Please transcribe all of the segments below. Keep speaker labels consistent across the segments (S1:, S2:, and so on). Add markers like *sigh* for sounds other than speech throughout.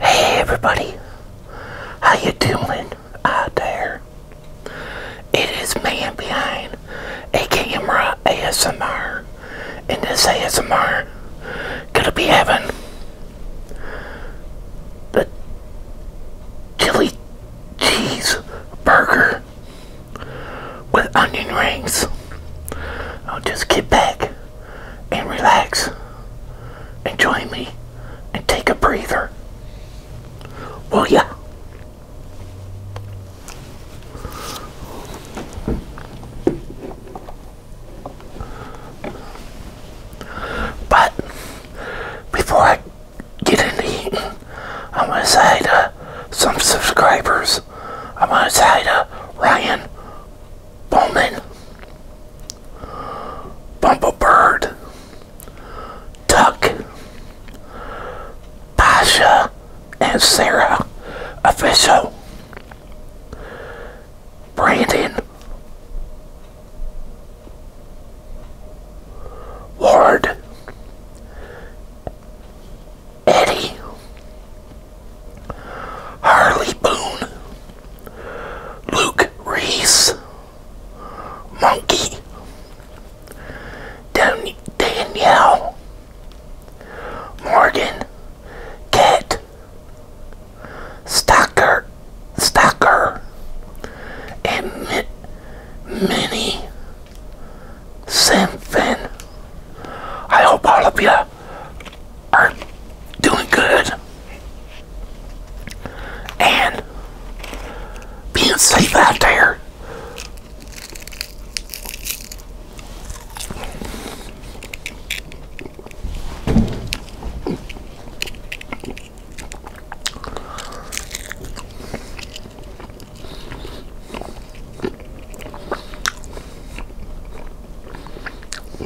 S1: Hey everybody, how you doing out there? It is Man Behind a Camera ASMR, and this ASMR gonna be having the chili cheese burger with onion rings. I'll just get back and relax and join me and take a breather. Will ya? But before I get into eating, I'm going to say to some subscribers, I'm going to say to Ryan Bowman, Bumblebird, Duck, Pasha, and Sarah Official, Brandon, Ward, Eddie, Harley Boone, Luke Reese, Monkey, Dan Danielle, Morgan, Cat, Stalker, Stalker, and Mi Minnie Simpson. I hope all of you are doing good and being safe out there.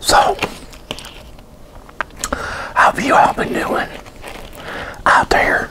S1: So, how have you all been doing out there?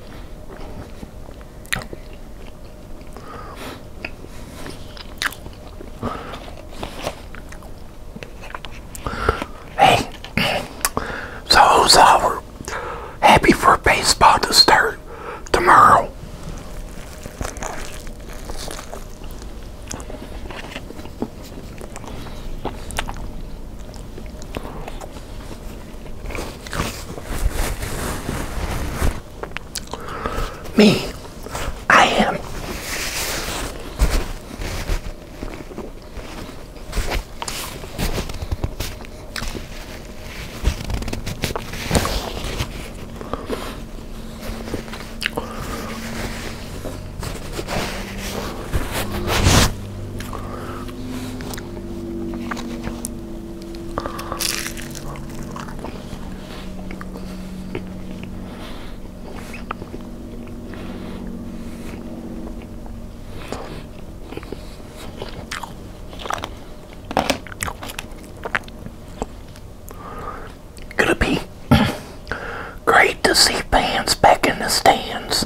S1: Hey, so who's Happy for baseball to start tomorrow. Me, I am Gonna be *coughs* great to see fans back in the stands.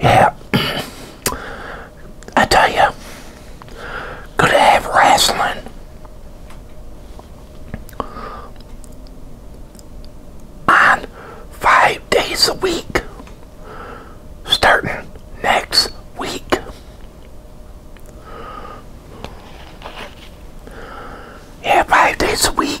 S1: Yeah, I tell you, could have wrestling. On five days a week, starting next week. Yeah, five days a week.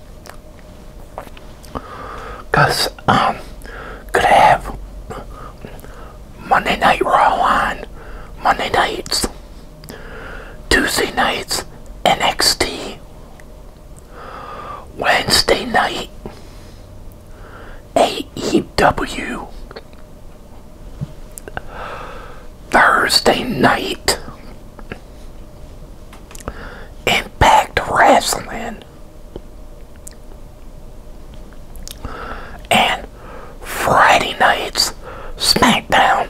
S1: Because um, could have Monday Night Raw on Monday nights, Tuesday nights, NXT, Wednesday night, AEW, Thursday night, Impact Wrestling and Friday night's SmackDown.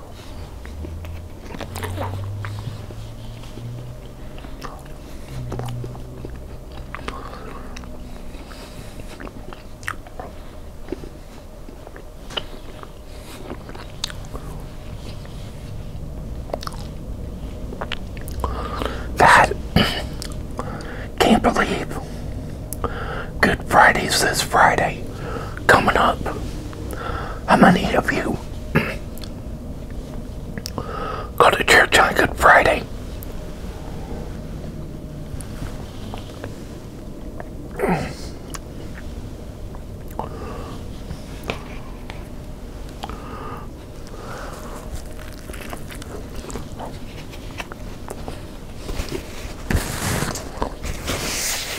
S1: God, can't believe Good Friday's this Friday coming up. How many of you Go to church on Good Friday.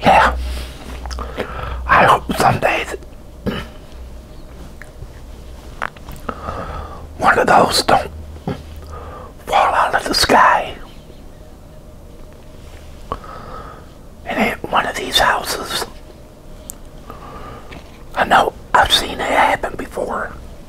S1: Yeah. I hope someday one of those don't fall out of the sky. And at one of these houses, I know I've seen it happen before.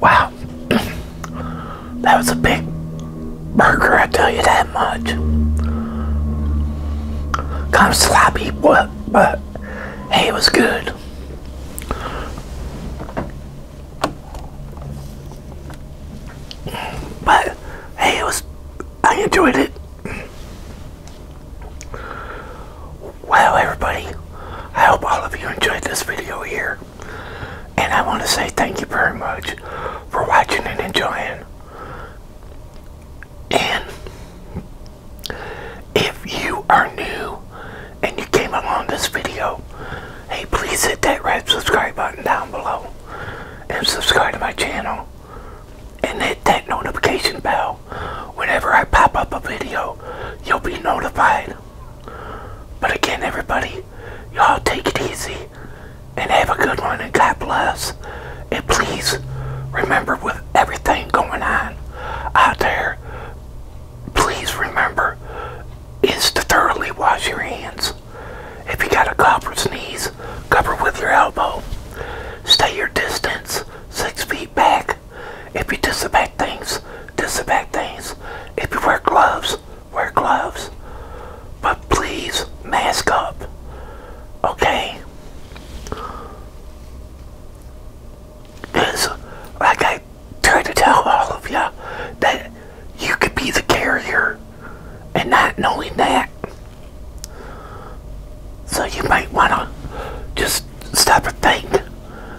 S1: Wow, *clears throat* that was a big burger, I tell you that much. Kind of sloppy, but, but hey, it was good. But hey, it was, I enjoyed it. Well, everybody, I hope all of you enjoyed this video here. And I want to say thank you very much for watching and enjoying. And if you are new and you came along this video, hey, please hit that red subscribe button down below and subscribe to my channel and hit that notification bell. Whenever I pop up a video, you'll be notified. But again, everybody, Y'all take it easy and have a good one and God bless. And please remember with everything going on out there, please remember is to thoroughly wash your hands. If you got a cough or sneeze, cover with your elbow. Stay your distance, six feet back. If you disinfect things, disinfect things. If you wear gloves, wear gloves, but please mask up, okay? Because, like I try to tell all of you, that you could be the carrier, and not knowing that. So you might want to just stop and think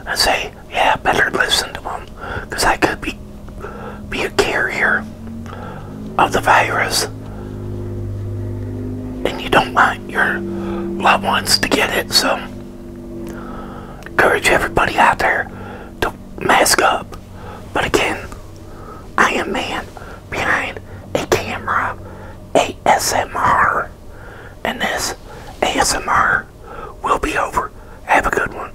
S1: and say, yeah, better listen to them because I could be be a carrier of the virus and you don't want your loved ones to get it so encourage everybody out there to mask up but again I am man behind a camera ASMR and this ASMR will be over have a good one